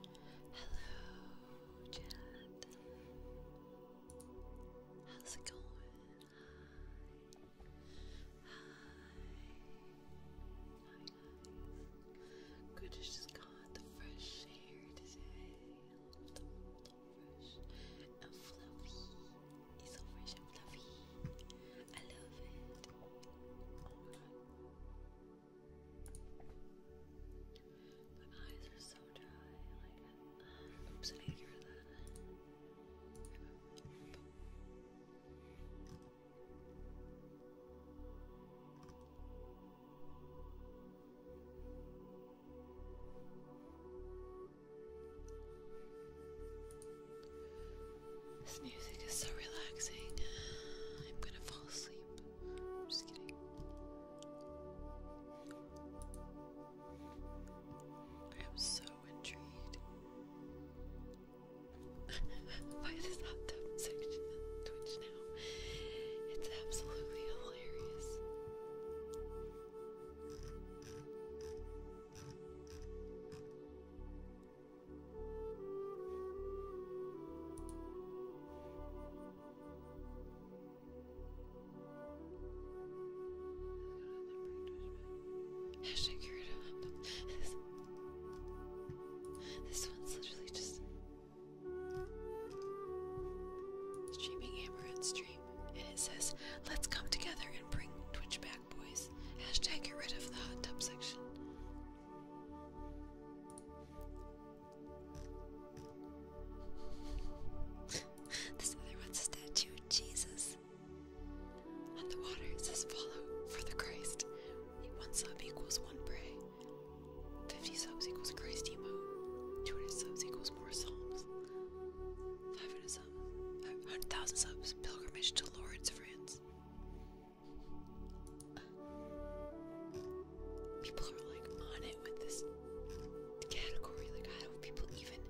Hello, chat. How's it going? hi. Good to the fresh air today. I love the, fresh fluffy. It's so fresh and fluffy. I love it. my eyes are so dry. oops, I hear that. This music is so relaxing. I'm gonna fall asleep. I'm just kidding. I am so intrigued by this hot tub section on Twitch now. It's absolutely hilarious. Hashtag Kirito. This one's literally just streaming hammer and stream. And it says, let's come together and bring Twitch back, boys. Hashtag get rid of the hot tub section. this other one's a statue of Jesus. And the water it says follow for the Christ. One sub equals one pray. Fifty subs equals Christ emo. Two hundred subs equals more psalms. Five hundred subs, hundred thousand subs. Pilgrimage to Lord's France. People are like on it with this category. Like, how do people even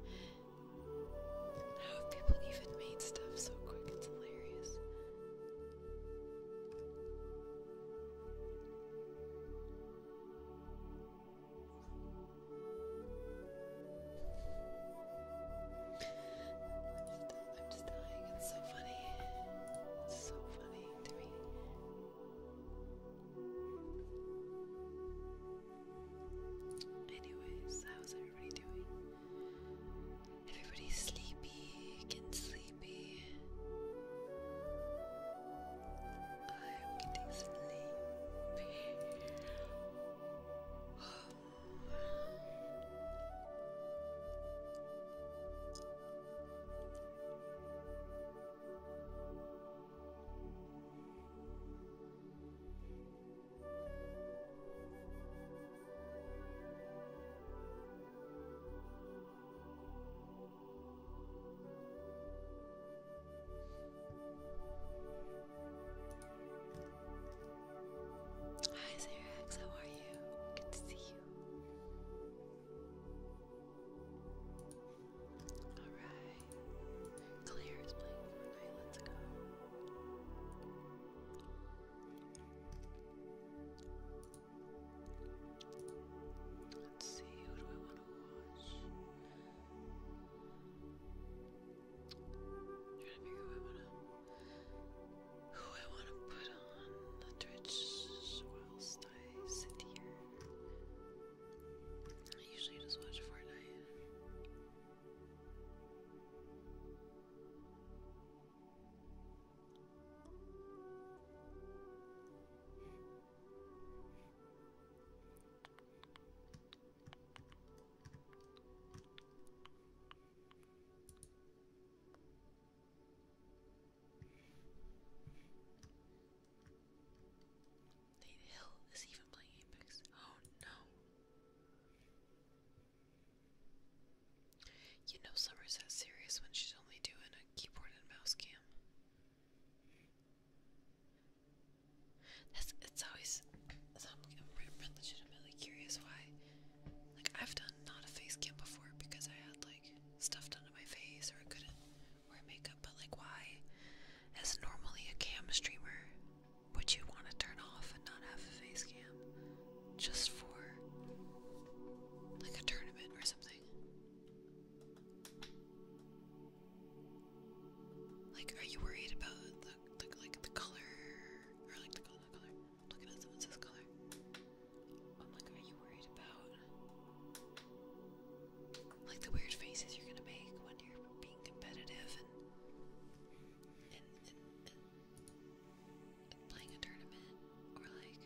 how have people even made stuff so quick? It's hilarious. I'm just dying. It's so funny. It's so funny to me. Anyways, how's everybody doing? Everybody's sleepy, getting sleepy. I'm getting sleepy. Hi, Xerax, how are you? Good to see you. Alright. Claire is playing Fortnite, let's go. Let's see, who do I want to watch? trying to figure who I want to, who I want to put on the Twitch whilst I sit here. I usually just watch Fortnite. The hill is even playing Apex. Oh no. You know Summer's that serious when she's only doing a keyboard and mouse cam. That's it's always I'm legitimately curious why. Like I've done not a face cam before because I had like stuff done to my face or I couldn't wear makeup, but like why as normally a cam streamer which you want to turn off and not have a face cam just for like a tournament or something. Like, are you worried about the, like the color or like the color? color? Looking at someone says color. I'm like, are you worried about like the weird faces you're gonna make when you're being competitive and and, and playing a tournament or like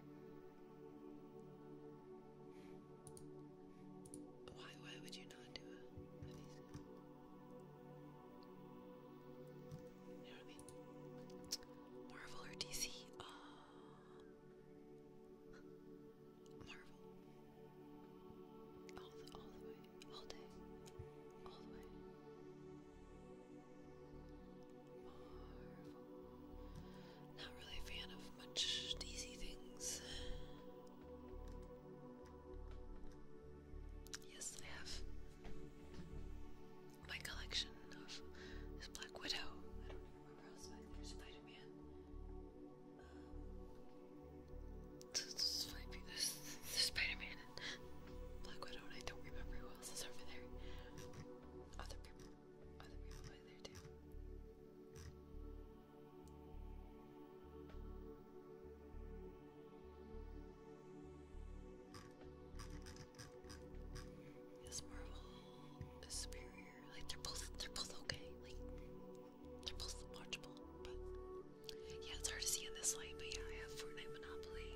why why would you not do it? You know what I mean? Marvel or DC? Oh. Uh, Marvel. All the all the way all day, Not really a fan of much DC things. Yes, I have my collection of Black Widow. I don't remember Spider Man. Um, this, this, this Spider Man Brandon. Black Widow and I don't remember who else is over there. Other people other people are there too. Yes, Marvel is superior. Like they're both they're both okay. Like they're both watchable, but yeah, it's hard to see in this light, but yeah, I have Fortnite Monopoly.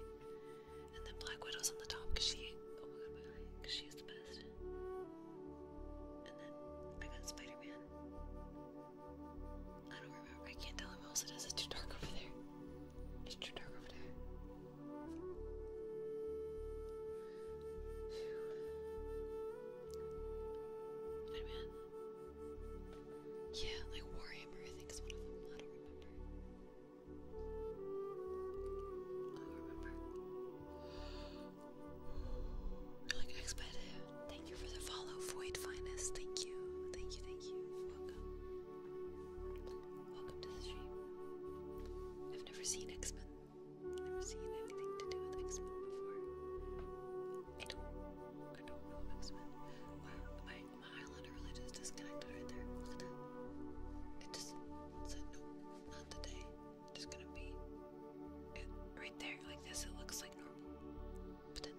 And then Black Widow's on the top because she, oh my god, my eye, because she's the best. And then I got Spider Man. I don't remember, I can't tell who else it is. It's too dark over there. It's too dark over there. Spider Man. Yeah, like Warhammer, I think is one of them. I don't remember. I'll remember. Thank you for the follow, Void Finest. Thank you. Thank you, thank you. Welcome. Welcome to the stream. I've never seen X-Men. Never seen anything to do with X-Men before. I don't I don't know X-Men. Wow, I my eye literally just disconnected right there. Look at that. It just said, nope, not today. Just gonna be right there, like this. It looks like normal. But then,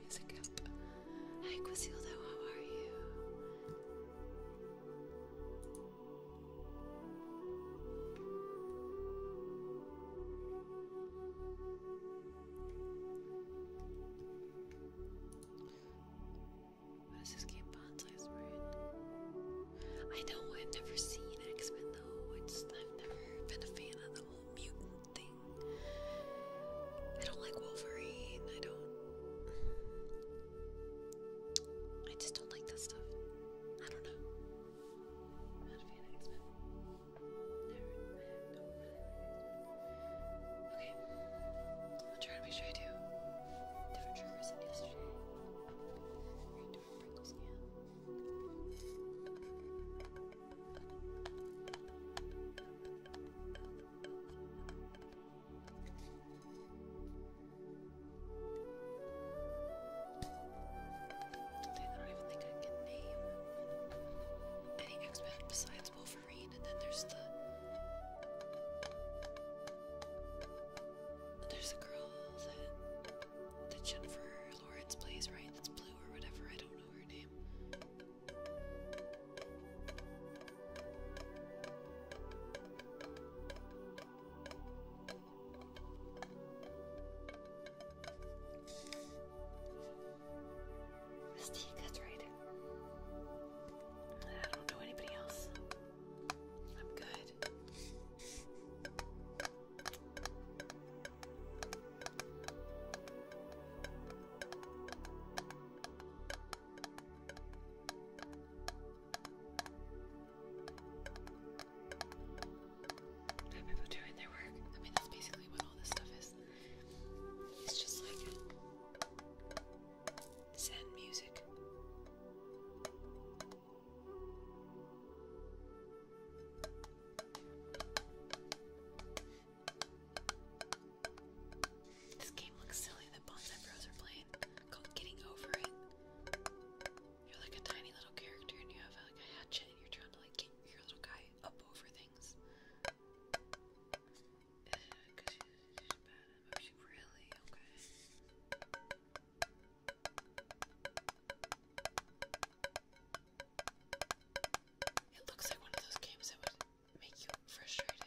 music up. Hi, Quisildo, how are you? Let's just keep Bonsai's right. I know I've never seen X-Men though. It's I've never been a fan of the whole mutant thing. I don't like Wolverine. I don't. I just don't like that stuff. I don't know. Okay. I'll try to make sure I do different triggers than yesterday. We're again. I don't even think I can name any x besides Wolverine. Wolverine, and then there's the there's the girl that that Jennifer Lawrence plays, right? That's blue or whatever. I don't know her name. This tea that's right. I don't know anybody else. I'm good. people doing their work. I mean, that's basically what all this stuff is. It's just like Zen music. This game looks silly that Bonsai are playing, called Getting Over It. You're like a tiny little character and you have like a hatchet and you're trying to like get your little guy up over things. It looks like one of those games that would make you frustrated.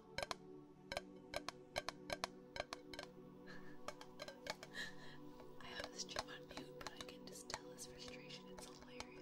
I have this chip on mute, but I can just tell his frustration. It's hilarious.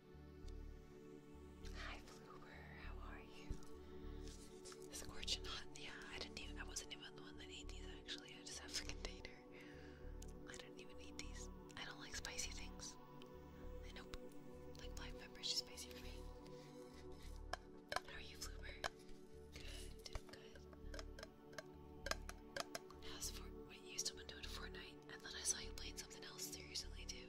Hi, Floober. How are you? Scorching hot. Yeah, I didn't even. I wasn't even the one that ate these. Actually, I just have the container. I do not even eat these. I don't like spicy things. I nope. Like black pepper is spicy for me. How are you, Floober? Good. Good. How's for? Wait, you still been doing Fortnite? And then I saw you playing something else there too.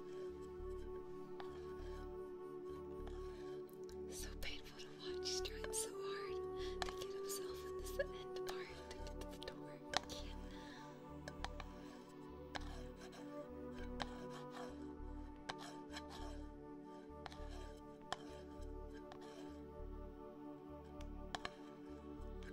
So painful to watch. He's trying so hard to get himself in this end part to get to the door. Yeah.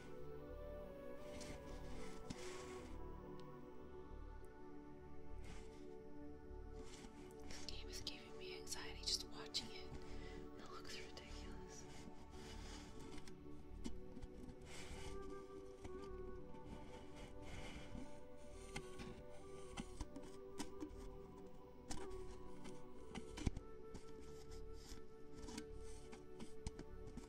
This game is giving me anxiety just watching it. It looks ridiculous.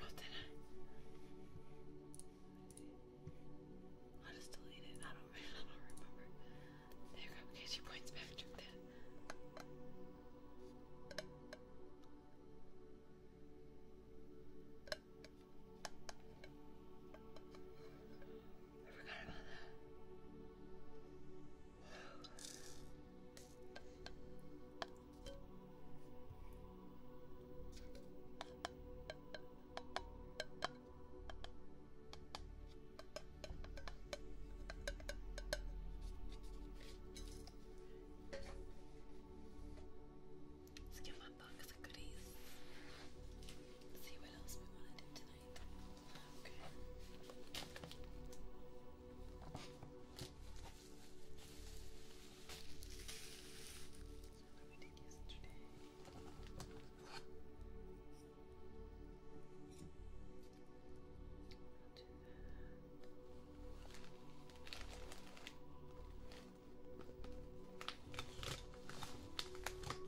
Oh, did I? I'll just delete I don't, I don't remember. There you go. Okay, she points back to that. I forgot about that. Let's give my box of goodies. See what else we want to do tonight. Okay. So what we did yesterday. I'll do that.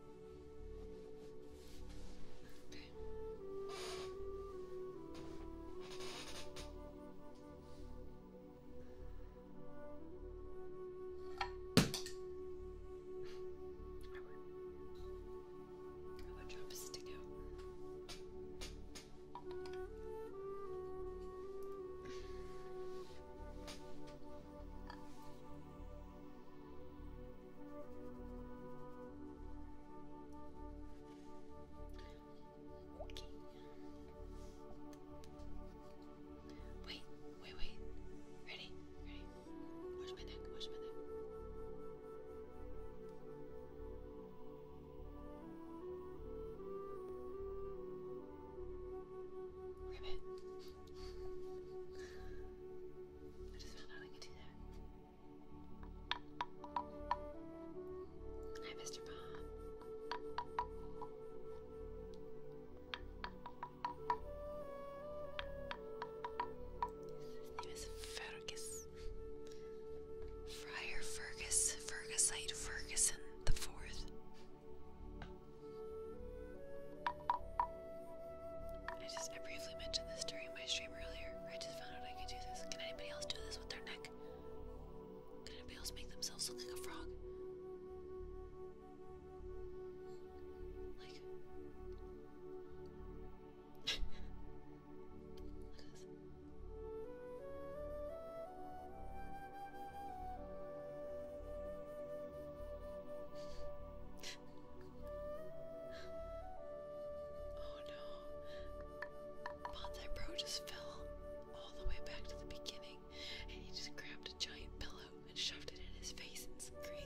Okay. I would, I would drop a stick out. Okay. Wait, wait, wait. Ready? Ready? my neck, watch my neck. Ribbit. I just found out I could do that. Hi, Mr. Bob. His name is Fergus. Friar Fergus, Fergusite Ferguson the Fourth. I just, briefly mentioned this during my stream earlier. I just found out I can do this. Can anybody else do this with their neck? Can anybody else make themselves look like a frog? Like. Oh no. Bonsai Bro just fell all the way back to the beginning and he just grabbed a giant pillow and shoved it in his face and screamed.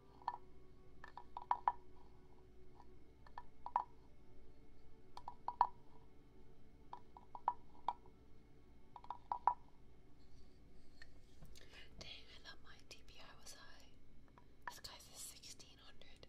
Dang, I thought my DPI was high. This guy's is 1600.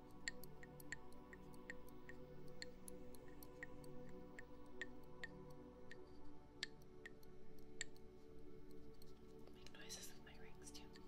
Make noises with my rings too. Okay.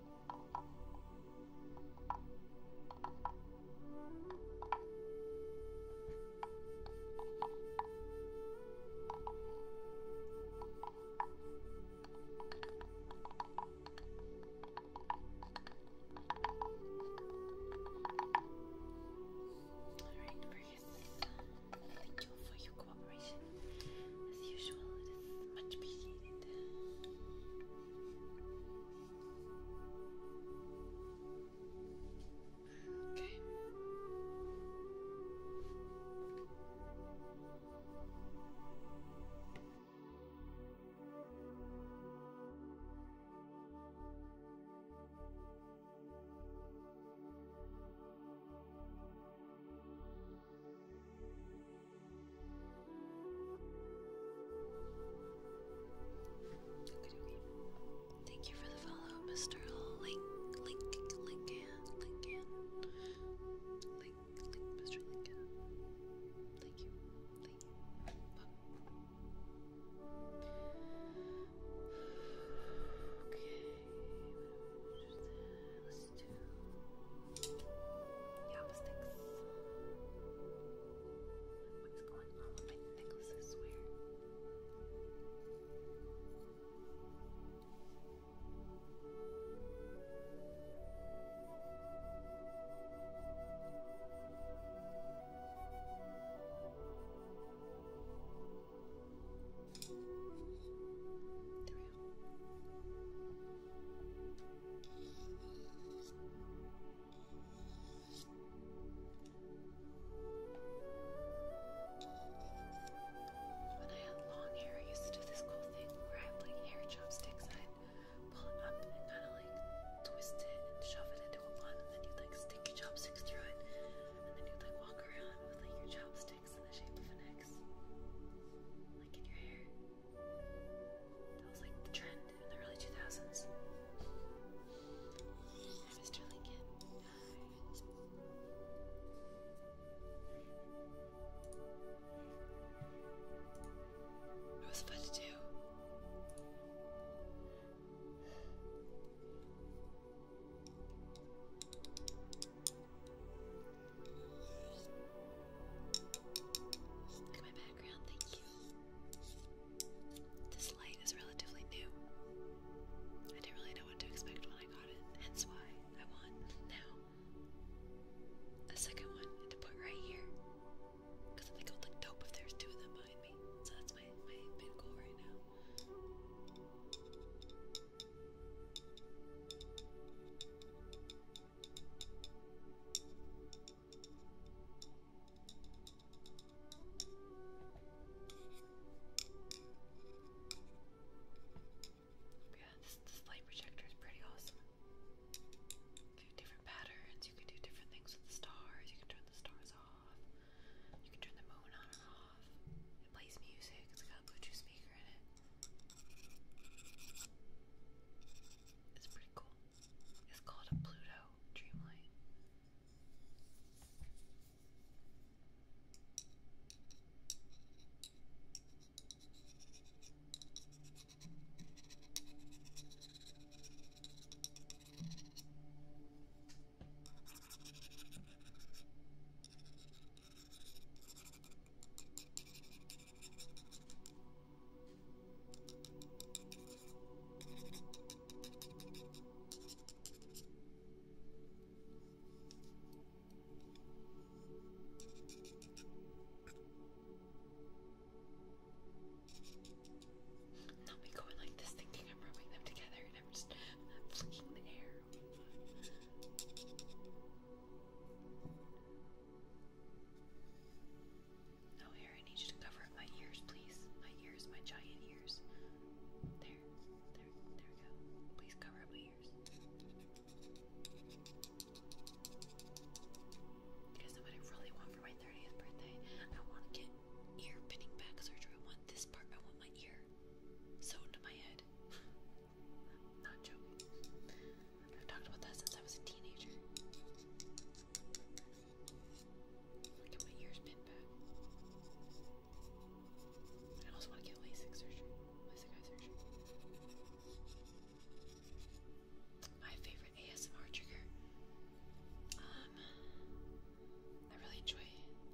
Alright, Marcus. Thank you for your cooperation. As usual, it is much appreciated. Okay. Thank you for the follow, Mr. Link, Lincoln, Lincoln, Mr. Lincoln. Thank you, thank you. Okay, goes to chopsticks. What's going on with my necklace, I swear? When I had long hair, I used to do this cool thing where I'd like hair chopsticks, I'd pull it up and kind of twist it and shove it into a bun, and then you'd like stick your chopsticks through it, and then you'd like walk around with like your chopsticks in the shape of an X, like in your hair. That was like the trend in the early 2000s. And Mr. Lincoln died. It was fun to do. Look at my background, thank you. This light is relatively new. I didn't really know what to expect when I got it, hence why I want now the second one to put right here. Because I think it would look dope if there's two of them behind me. So that's my, my main goal right now. Yeah, this, light projector is pretty awesome. Do different patterns, you can do different things with the stars, you can turn the stars off, you can turn the moon on and off. It plays music, it's got a Bluetooth speaker in it. It's pretty cool. It's called a Pluto Dreamlight. Now we go in like this thinking I'm rubbing them together and I'm just flicking the air. Now, here, I need you to cover up my ears, please. My ears, my giant ears. There, there, there we go. Please cover up my ears. Because what I really want for my 30th birthday, I want to get ear pinning back surgery. I want this part, I want my ear sewn to my head. i not joking. I've talked about that since I was a teenager. Look at my ears pinned back. I also want to get LASIK surgery. LASIK eye surgery. My favorite ASMR trigger. Um, I really enjoy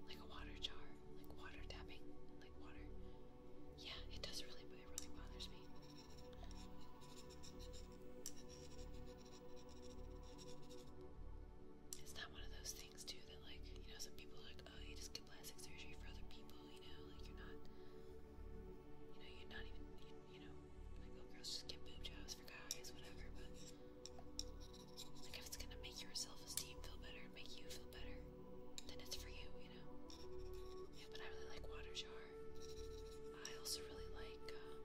like a water jar, like water tapping, like water. Yeah, it does really, but it really bothers me. It's not one of those things, too, that, like, you know, some people like, oh, you just get plastic surgery for other people, you know, like, you're not, you know, you're not even, you, know, like, oh, girls just get boob jobs for guys, whatever, but, like, if it's gonna make your self esteem feel better make you feel better, then it's for you you know. Yeah, but I really like water jar. I also really like. Um,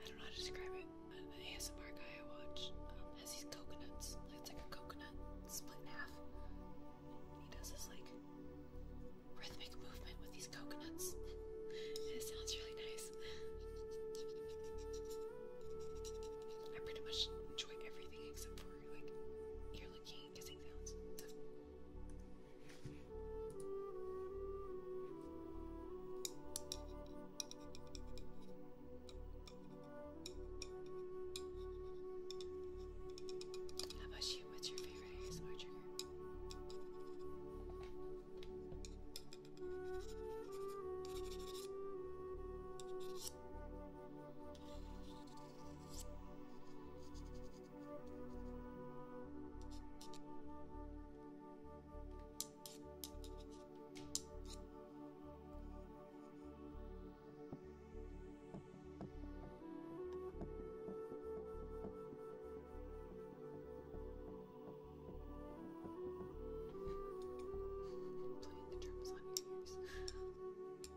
I don't know how to describe it. An ASMR guy I watch um, has these coconuts. Like it's like a coconut split in half. He does this like rhythmic movement with these coconuts. and it sounds really nice. I pretty much enjoy everything except for you're looking kissing sounds. How about you? What's your favorite Playing the drums on your ears.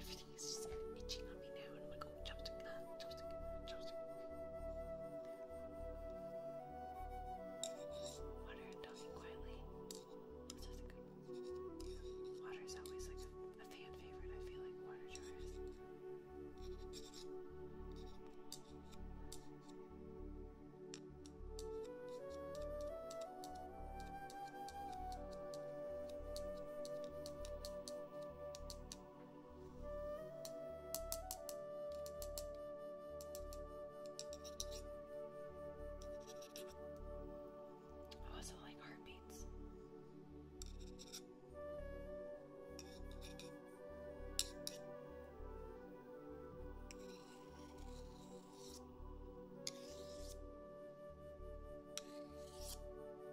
Everything is just itching on me now, and I'm like, oh, chopstick, ah, chopstick, chopstick. Water talking quietly. is Water is always like a, fan favorite, I feel like water jars. Oh, I also like heartbeats.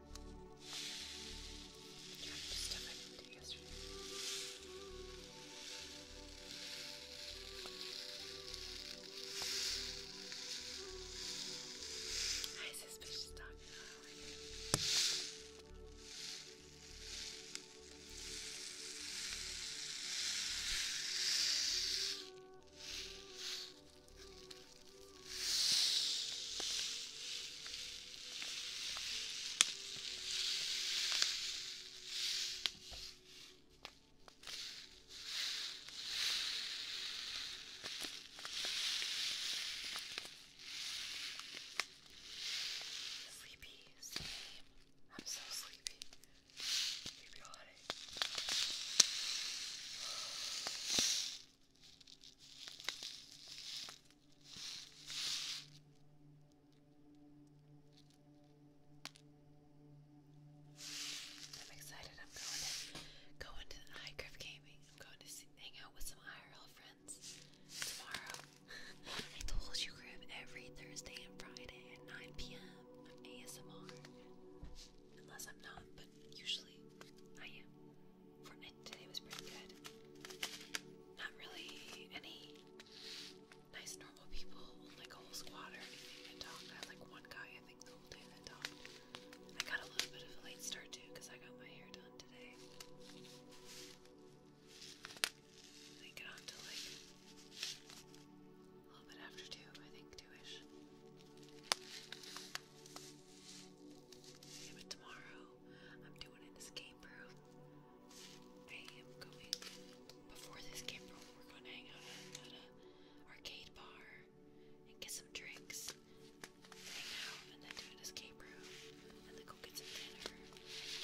Trying to stuff I didn't do yesterday. Hi, suspicious dog. How are you? Thank Sleepy, same. I'm so sleepy. Sleepy holiday. I'm excited. I'm going to go into the high Griff Gaming. I'm going to hang out with some IRL friends tomorrow. I told you, Griff, every Thursday and Friday at 9 p.m. I'm ASMR. Unless I'm not, but usually I am for it today was pretty good. Not really any nice normal people, like a whole squad or anything that talked. I had like one guy I think the whole day that talked. I got a little bit of a late start too because I got my hair done today. I think it like a little bit after two, I think 2 but tomorrow I'm doing an escape room. I am going before this escape room. We're gonna hang out at an arcade bar and get some drinks, hang out, and then do an escape room, and then go get some dinner,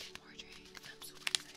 get more drinks. I'm super excited.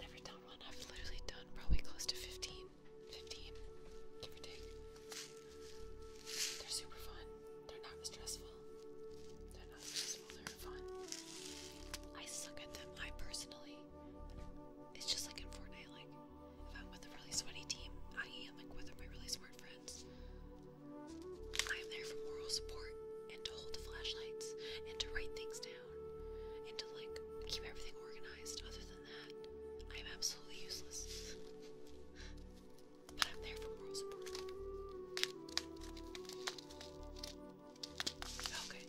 Never done one. I've literally done probably close to 15. give or take. They're super fun. They're not stressful. They're not stressful. They're fun. I suck at them. I personally. It's just like in Fortnite. If I'm with a really sweaty team, i.e., I'm like with my really smart friends, I am there for moral support and to hold the flashlights and to write things down and to like keep everything organized. Other than that, I am absolutely useless. but I'm there for moral support. Okay.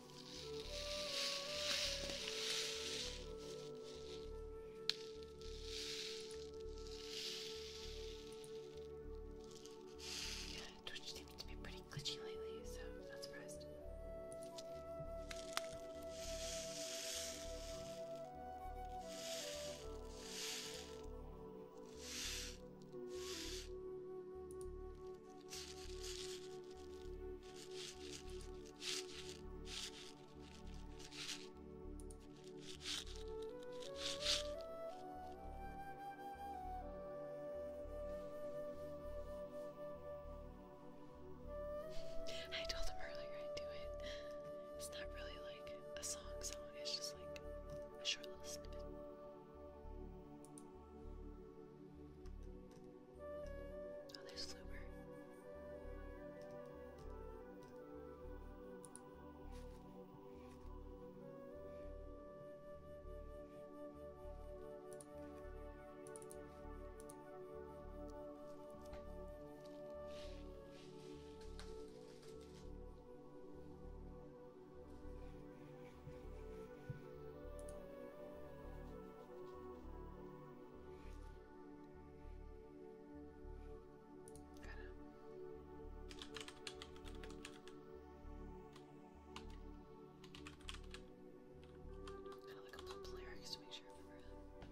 Yeah, Twitch seems to be pretty glitchy lately, so I'm not surprised. I told him earlier I'd do it. It's not really like a song song, it's just like a short little snippet. Oh, there's Loomer. Gotta look up the lyrics to make sure I remember them.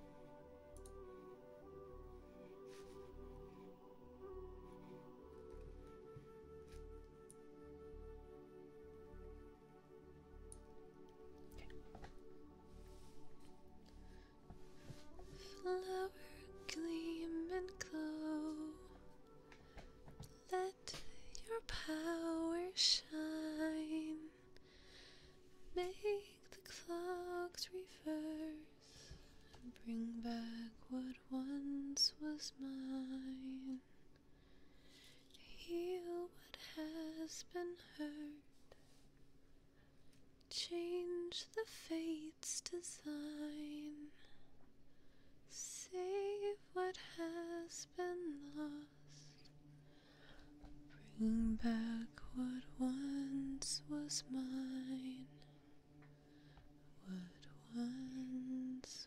Flower gleam and glow. Let your power shine. Make the clocks reverse and bring back what once was mine to heal what has been hurt, change the fate's design, save what has been lost, bring back what once was mine. What once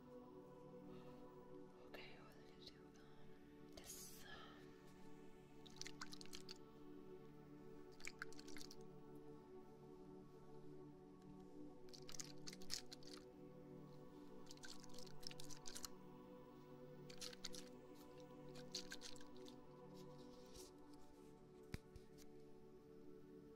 Okay, what did I do? Um, this. Um, Okay,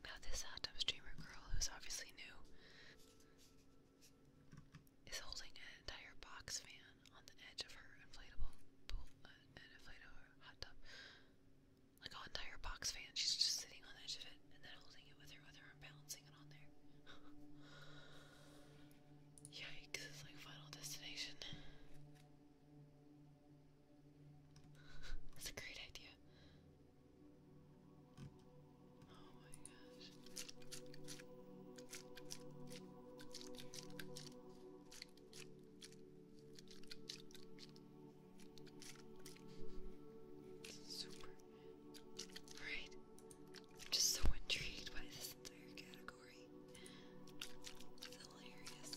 About this uh, tub streamer girl who's obviously new is holding an entire box fan on the edge of her inflatable uh, inflatable hot tub. Like an entire box fan. She's just sitting on the edge of it and then holding it with her other arm, balancing it on there. Yikes, it's like Final Destination. That's a great idea. Oh my gosh. Super. Alright. I'm just so intrigued by this entire category. It's hilarious.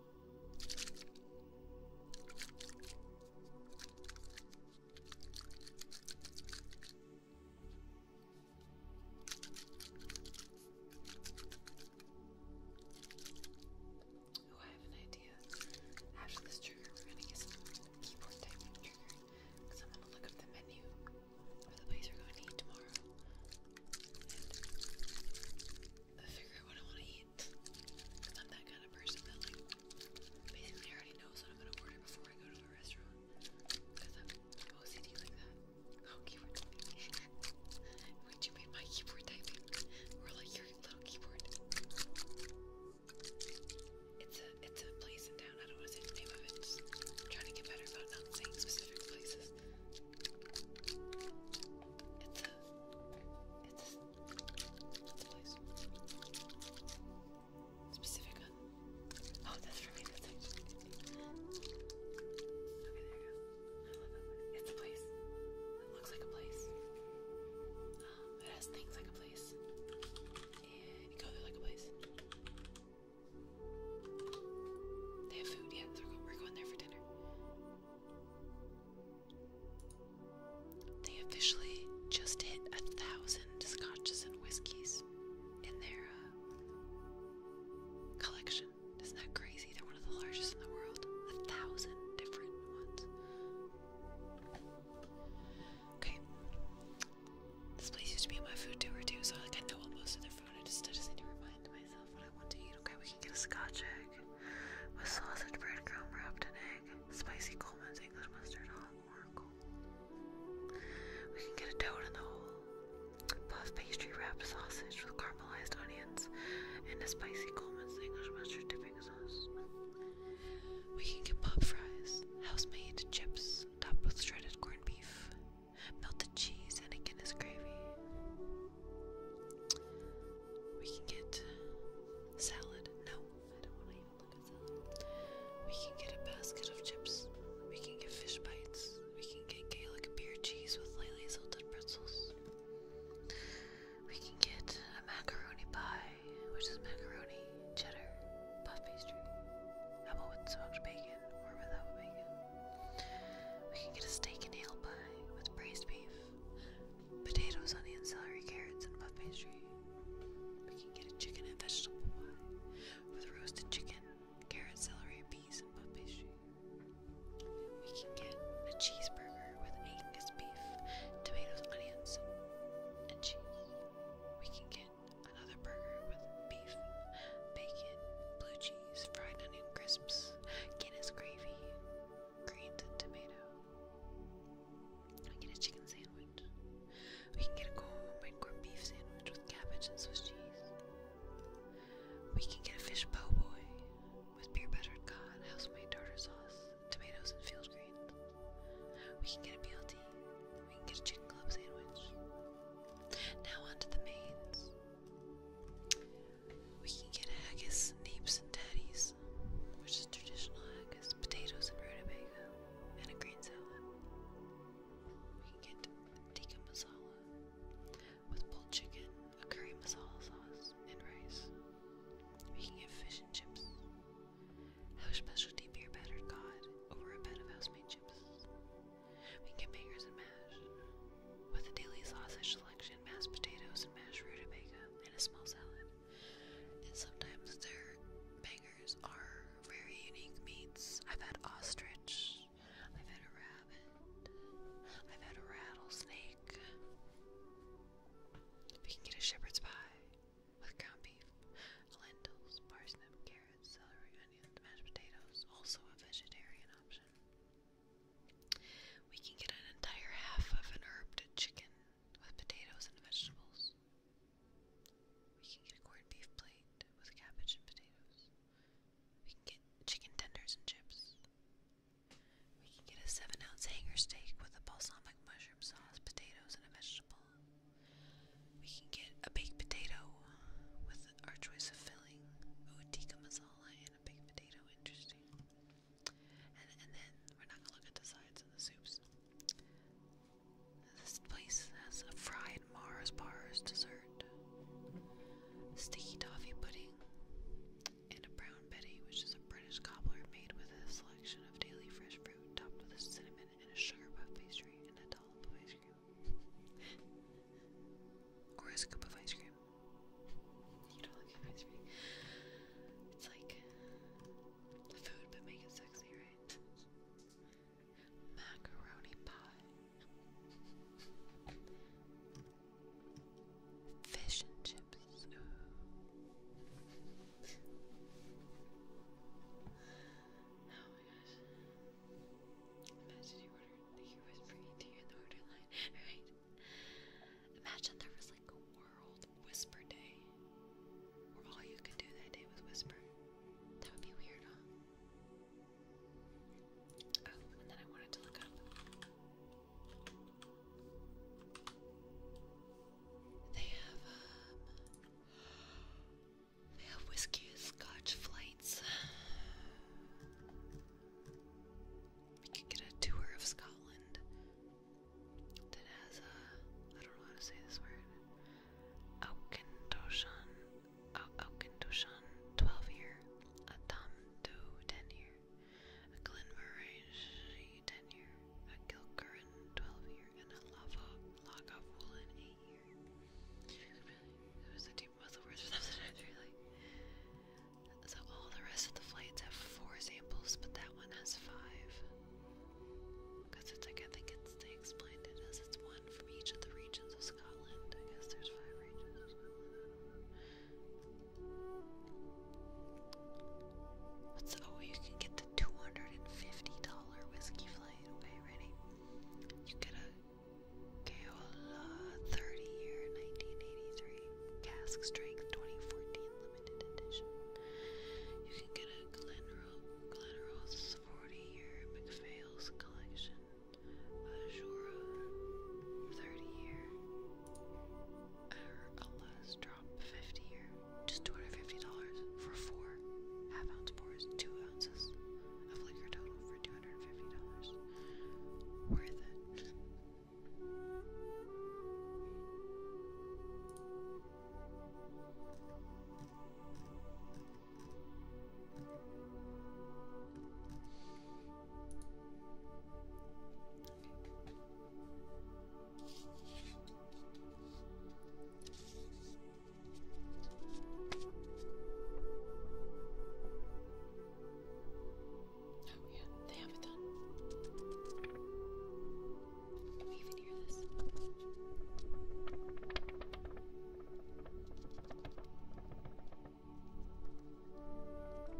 Oh, I have an idea. After this trigger, we're gonna get some keyboard typing trigger because I'm gonna look up the menu for the place we're going to eat tomorrow figure out what I want to eat. i I'm that kind of person that like basically already knows what I'm gonna order before I go to a restaurant. Cause I'm OCD like that. Oh, keyboard typing. Wait, you made my keyboard typing? Or like your little keyboard? It's a it's a place in town. I don't want to say the name of it. trying to get better about not saying specific places. It's a it's What's the place? Specific Oh, that's for me. That's actually. Okay, there you go. It's a place. It looks like a place. Um, it has things like a place. And you go like a place. They have food, yeah. So we're going there for dinner. They officially just hit a thousand scotches and whiskeys in their uh, collection. Isn't that crazy? They're one of the largest in the world. A thousand different ones. Okay. This place used to be my food tour too, so like I know most of their food. I just, I just need to remind myself what I want to eat. Okay, we can get a scotch egg with sausage, breadcrumb wrapped in egg spicy Coleman's English mustard, hot or We can get a toad in the hole. Puff pastry wrapped sausage with caramelized onions and a spicy Coleman's English mustard dipping sauce. We can get pop fries, house-made chips topped with shredded corned beef, melted cheese, and a Guinness gravy. We can get salad. No, We can get a basket of chips. We can get fish bites. We can get Gaelic beer cheese with lightly salted pretzels. We can get a macaroni pie, which is macaroni, cheddar, puff pastry. How with smoked bacon or without bacon? We can get a steak and ale pie with braised beef. Potatoes, onion, celery, carrots, and puff pastry. We can get a chicken and vegetable pie with roasted chicken, carrots, celery, peas, and puff pastry. We can get a cheeseburger with Angus beef, tomatoes, onions, and cheese. We can get another burger with beef, bacon, blue cheese, fried onion crisps, Guinness gravy, greens, and tomato. We can get a chicken sandwich. We can get a homemade corned beef sandwich with cabbage and Swiss cheese. We can get a fish po' boy with beer battered cod, house-made tartar sauce, tomatoes, and field greens. We can get a BLT. We can get a chicken club sandwich. Now on to the mains. We can get a haggis, neeps, and tatties which is traditional, I potatoes and rutabaga, and a green salad. We can get tikka masala with pulled chicken, a curry masala sauce, and rice. We can get fish and chips. Have a specialty beer battered cod over a bed of house-made chips. We can get bangers and mash. With a daily sausage selection, mashed potatoes and mashed rutabaga, and a small salad. And sometimes their bangers are very unique meats. I've had ostrich, I've had a rabbit, I've had a rattlesnake. We can get a shepherd's pie with ground beef, lentils, parsnip, carrots, celery, onions, mashed potatoes, also a vegetarian option. We can get an entire half of an herbed chicken with potatoes and vegetables. We can get a corned beef plate with cabbage and potatoes. We can get chicken tenders and chips. We can get a 7 ounce hanger steak with a balsamic mushroom sauce, potatoes, and a vegetable. We can get a baked potato with our choice of filling. Ooh, tikka masala and a baked potato, interesting. And, then we're not gonna look at the sides of the soups. This place has a fried Mars bars dessert, sticky toffee pudding, and a brown betty, which is a British cobbler made with a selection of daily fresh fruit topped with cinnamon and a sugar puff pastry and a dollop of ice cream. or a scoop of ice cream. You don't like ice cream. It's like Food, but make it sexy, right? Macaroni pie. Fish and chips. Oh my gosh. Imagine you ordered, like you were to you in the order line, right? Imagine there was like a world Whisper Day, where all you could do that day was whisper. That would be weird, huh? Oh, and then I wanted to look up. They have, um, they have whiskey scotch flights. We could get a tour of Scotland that has a, I don't know how to say this word, Aukendoshan, Aukendoshan 12 year, a Tamdu 10 year, Glenmorangie 10 year, a Gilcurran 12 year, and a Lava Lagavulin 8 year. It was a deep muzzle words or something, So all the rest of the flights have four samples, but that one has five. Because it's like, I think it's, they explained it as it's one from each of the regions of Scotland. I guess there's five regions of Scotland. Oh, you can get the $250 whiskey flight. Okay, ready? You get a Keola 30 year 1983 cask strength 2014 you can get a Glenrothes 40-year McPhail's collection, a Jura 30-year, or a last drop 50-year, just $250 for four half-ounce pours, two ounces of liquor total for $250. Worth it. Oh yeah, they have it done. Can you even hear this? Not really making noise I wanted to make. Okay, forget that. That's too much work. Okay,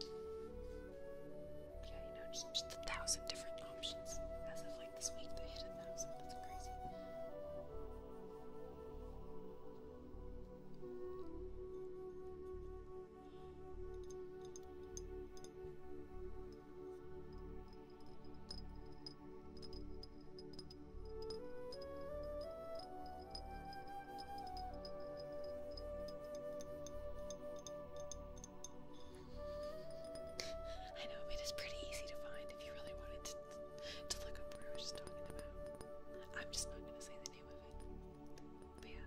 yeah, you know, just, just a thousand different options. As of like this week, they hit a thousand. That's crazy. I know, it is pretty easy to find if you really wanted to, to look up what we were just talking about. I'm just not gonna say the name of it. But yeah.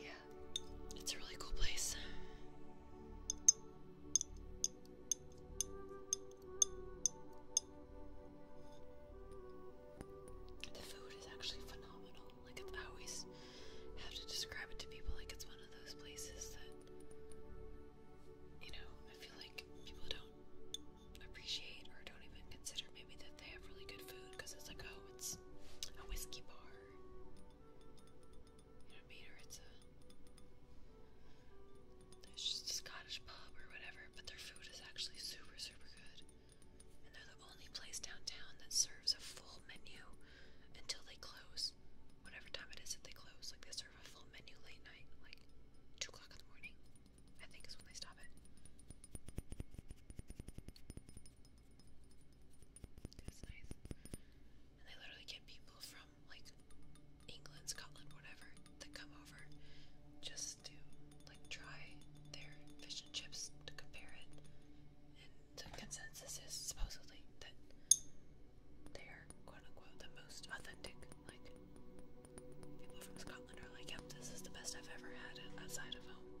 yeah, it's a really cool place. The food is actually phenomenal. Like, I always have to describe it to people like it's one of those places that, you know, I feel like people don't appreciate or don't even consider maybe that they have really good food because it's like, oh, it's a whiskey bar. Not meter, it's a. There's just a Scottish pub or whatever, but their food is actually super, super good. And they're the only place downtown that serves a full menu until they close. Whatever time it is that they close, like they serve a full menu late night, like 2 o'clock in the morning, I think is when they stop it. It's nice. And they literally get people from like England, Scotland, whatever, that come over just to like try their fish and chips to compare it. And the consensus is supposedly that they are quote unquote the most authentic. Like people from Scotland are like, yep, this is the best I've ever had outside of home.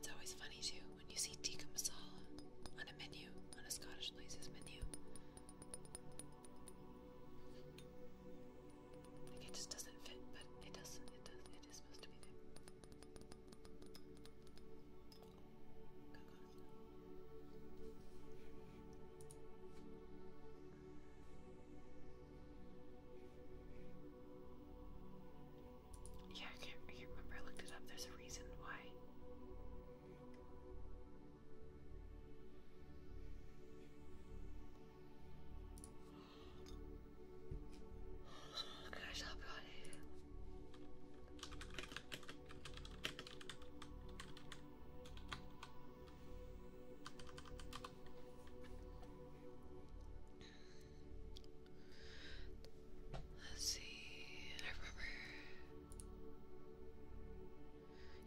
It's always funny too when you see tikka masala on a menu, on a Scottish Places menu. Like it just doesn't fit, but it doesn't. It does. It is supposed to be there. Yeah, I can't, remember. I looked it up. There's a reason why. Oh, gosh, I'll Let's see. I remember.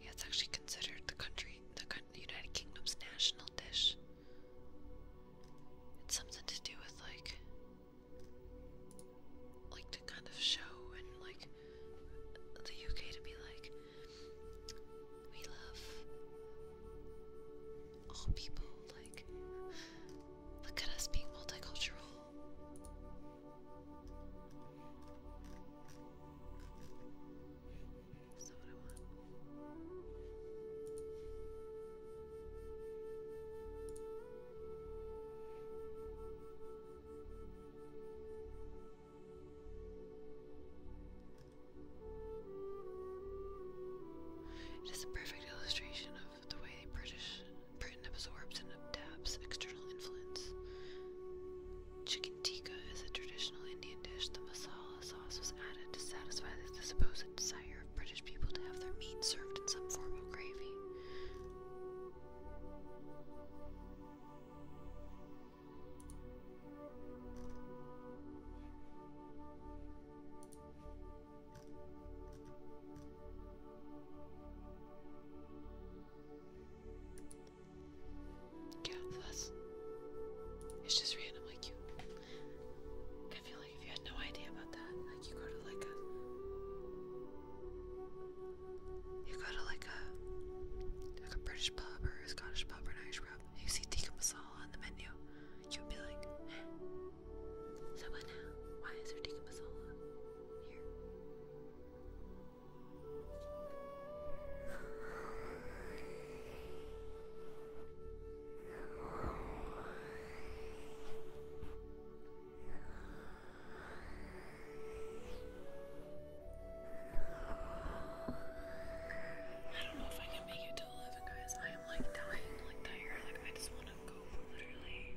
Yeah, it's actually considered the country, the United Kingdom's national dish. It's something to do with like, like to kind of show and like the UK to be like, we love all people, like Look at us being multicultural. That's what I want. It is a perfect illustration of the way British Britain absorbs and adapts external influence. Chicken tikka is a traditional Indian dish. The masala sauce was added to satisfy the supposed desire of British people to have their meat served in some form of gravy. Yeah, that's. It's just randomly cute. I feel like if you had no idea about that, like you go to like a. You go to like a. Like a British pub or a Scottish pub or an Irish pub, you see tikka masala on the menu, you'd be like, so what now? Why is there Digamazola here? I don't know if I can make it to 11, guys. I am like dying, like tired. Like I just want to go literally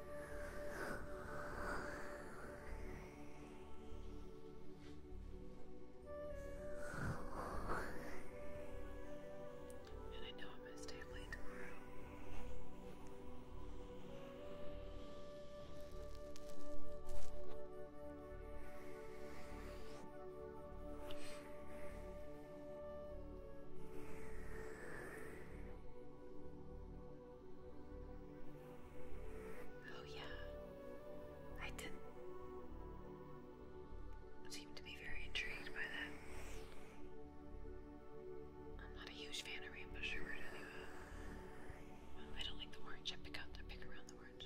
And I know I'm going to stay up late tomorrow. Oh, yeah. I didn't seem to be very intrigued by that. I'm not a huge fan of rainbow sherbet uh, I don't like the orange. I pick out I pick around the orange.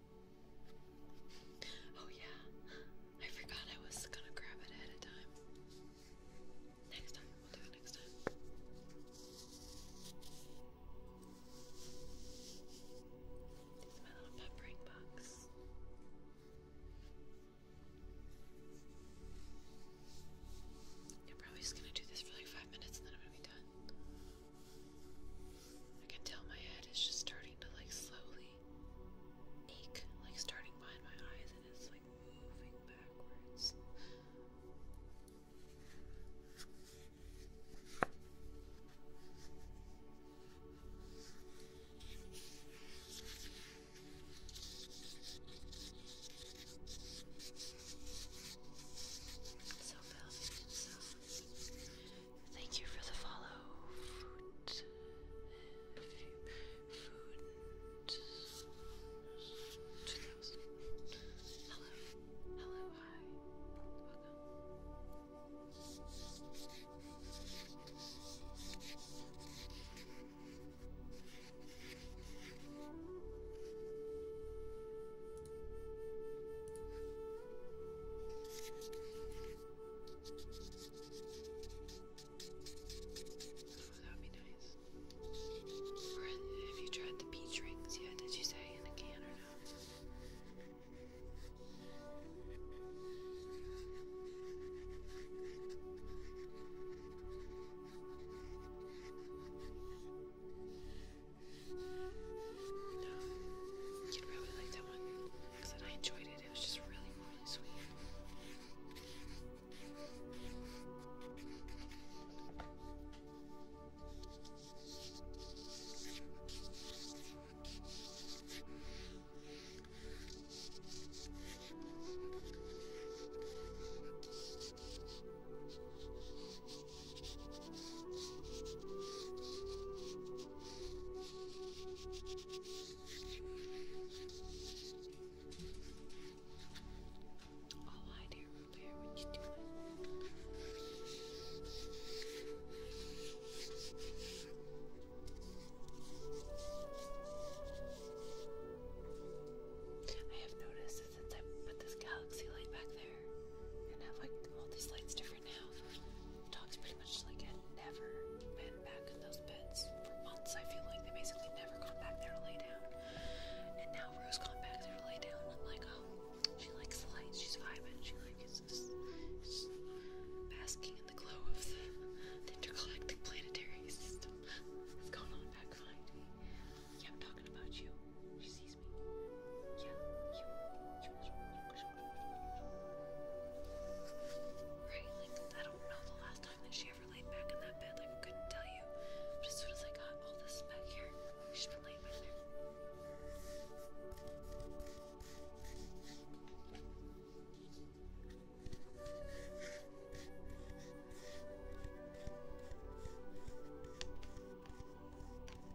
Oh, yeah. I forgot I was gonna grab it ahead of time. Next time, we'll do it next time. my little peppering box. I'm probably just gonna do this for like five minutes and then I'm gonna be done. I can tell my head is just starting to like slowly ache, like starting behind my eyes, and it's like moving backwards. So, Belgian Thank you for the follow. Hello. Hello. Hi. Welcome that would be nice. Or have you tried the peach rings yet? Did you say in a can or no? No, you'd probably like that one. I said I enjoyed it. It was just really, really sweet. Oh, hi dear Rubear, what you doing? I have noticed since I put this galaxy light back there and have like all these lights different for pretty much like had never been back in those beds for months. I feel like they basically never gone back there to lay down. And now Rose gone back there to lay down. And I'm like, oh, she likes the lights. She's vibing. She's like is just, basking in the glow of the, the intergalactic planetary system that's going on back behind Yeah, I'm talking about you. She's yeah, I don't know the last time that she ever laid back in that bed. Like, I couldn't tell you. But as soon as I got all this back here, she's been laying back there.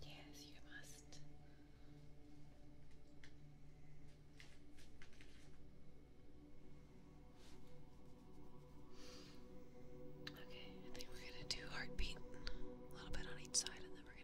Yes, you must. Okay, I think we're gonna do heartbeat a little bit on each side and then we're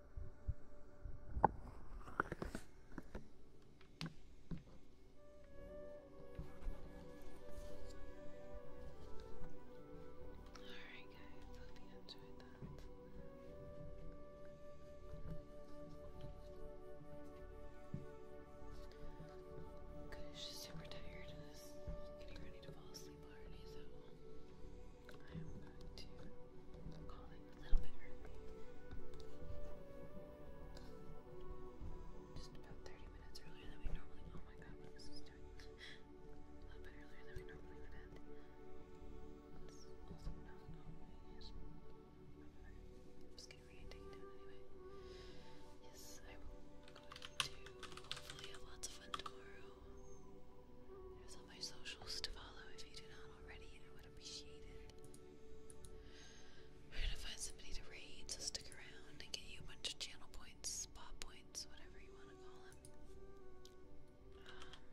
Alright, guys, hope you enjoyed that. Good, she's super tired getting ready to fall asleep already, so. I'm going to call it a little bit early. Just about 30 minutes earlier than we normally. Oh my god, what is this doing? a little bit earlier than we normally would end. also not Yes, I'm hopefully have lots of fun tomorrow. There's all my socials to follow if you do not already, I would appreciate it. We're gonna find somebody to raid, so stick around and get you a bunch of channel points, spot points, whatever you want to call them. Um,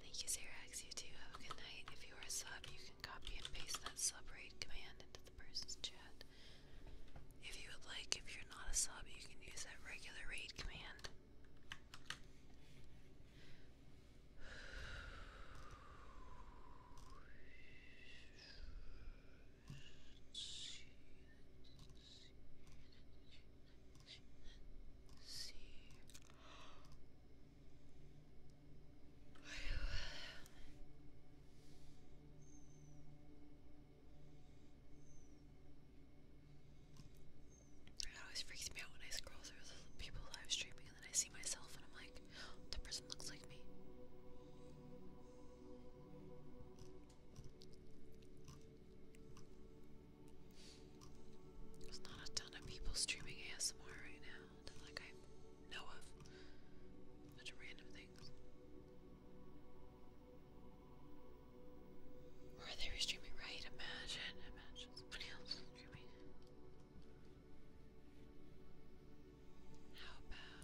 thank you, Xerax. You too. Have a good night. If you are a sub, you can copy and paste that sub raid command into the person's chat. If you would like, if you're not a sub, you can use that regular raid command. It always freaks me out when I scroll through the people live streaming and then I see myself and I'm like, that person looks like me. There's not a ton of people streaming ASMR right now like I know of. Such a things. they streaming right, imagine, imagine somebody else streaming. How about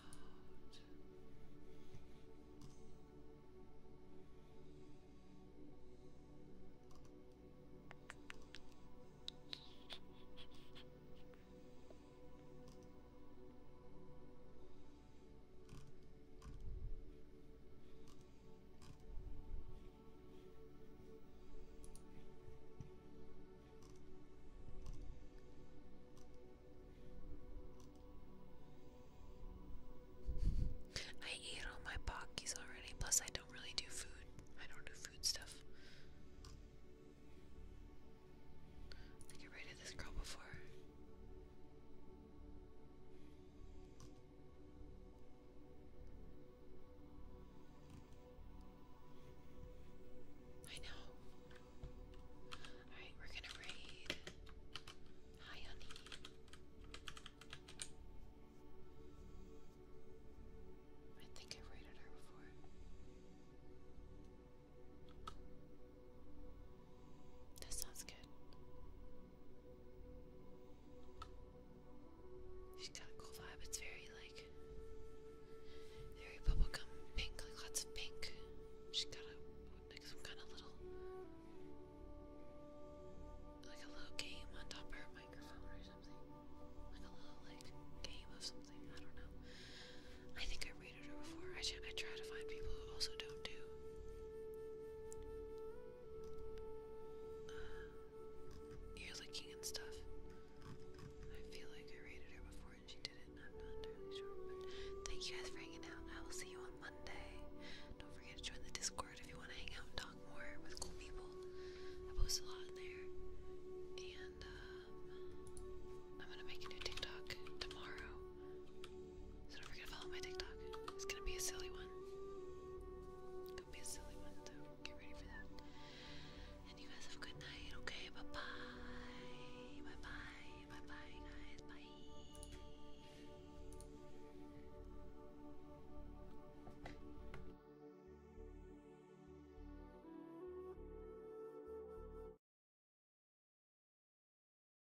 I ate all my pockies already, plus I don't really do food. I don't do food stuff. I think I rated this girl before. I know. Alright, we're gonna raid. Hi, honey. I think i raided her before. That sounds good. She's got a cool vibe. It's very like very bubblegum pink, like lots of pink. She's got like some kind of little like a little game on top of her microphone or something. Like a little like game of something. I don't know. I think I rated her before. I try to find people who also don't do uh, licking and stuff. I feel like I rated her before and she didn't. I'm not entirely sure, but thank you guys for hanging out. I will see you on Monday. Don't forget to join the Discord if you want to hang out and talk more with cool people. I post a lot in there. And um, I'm gonna make a new TikTok tomorrow. So don't forget to follow my TikTok. It's gonna be a silly one. It's gonna be a silly one, so get ready for that. And you guys have a good night, okay? Bye bye. Bye bye. Bye bye, guys. Bye.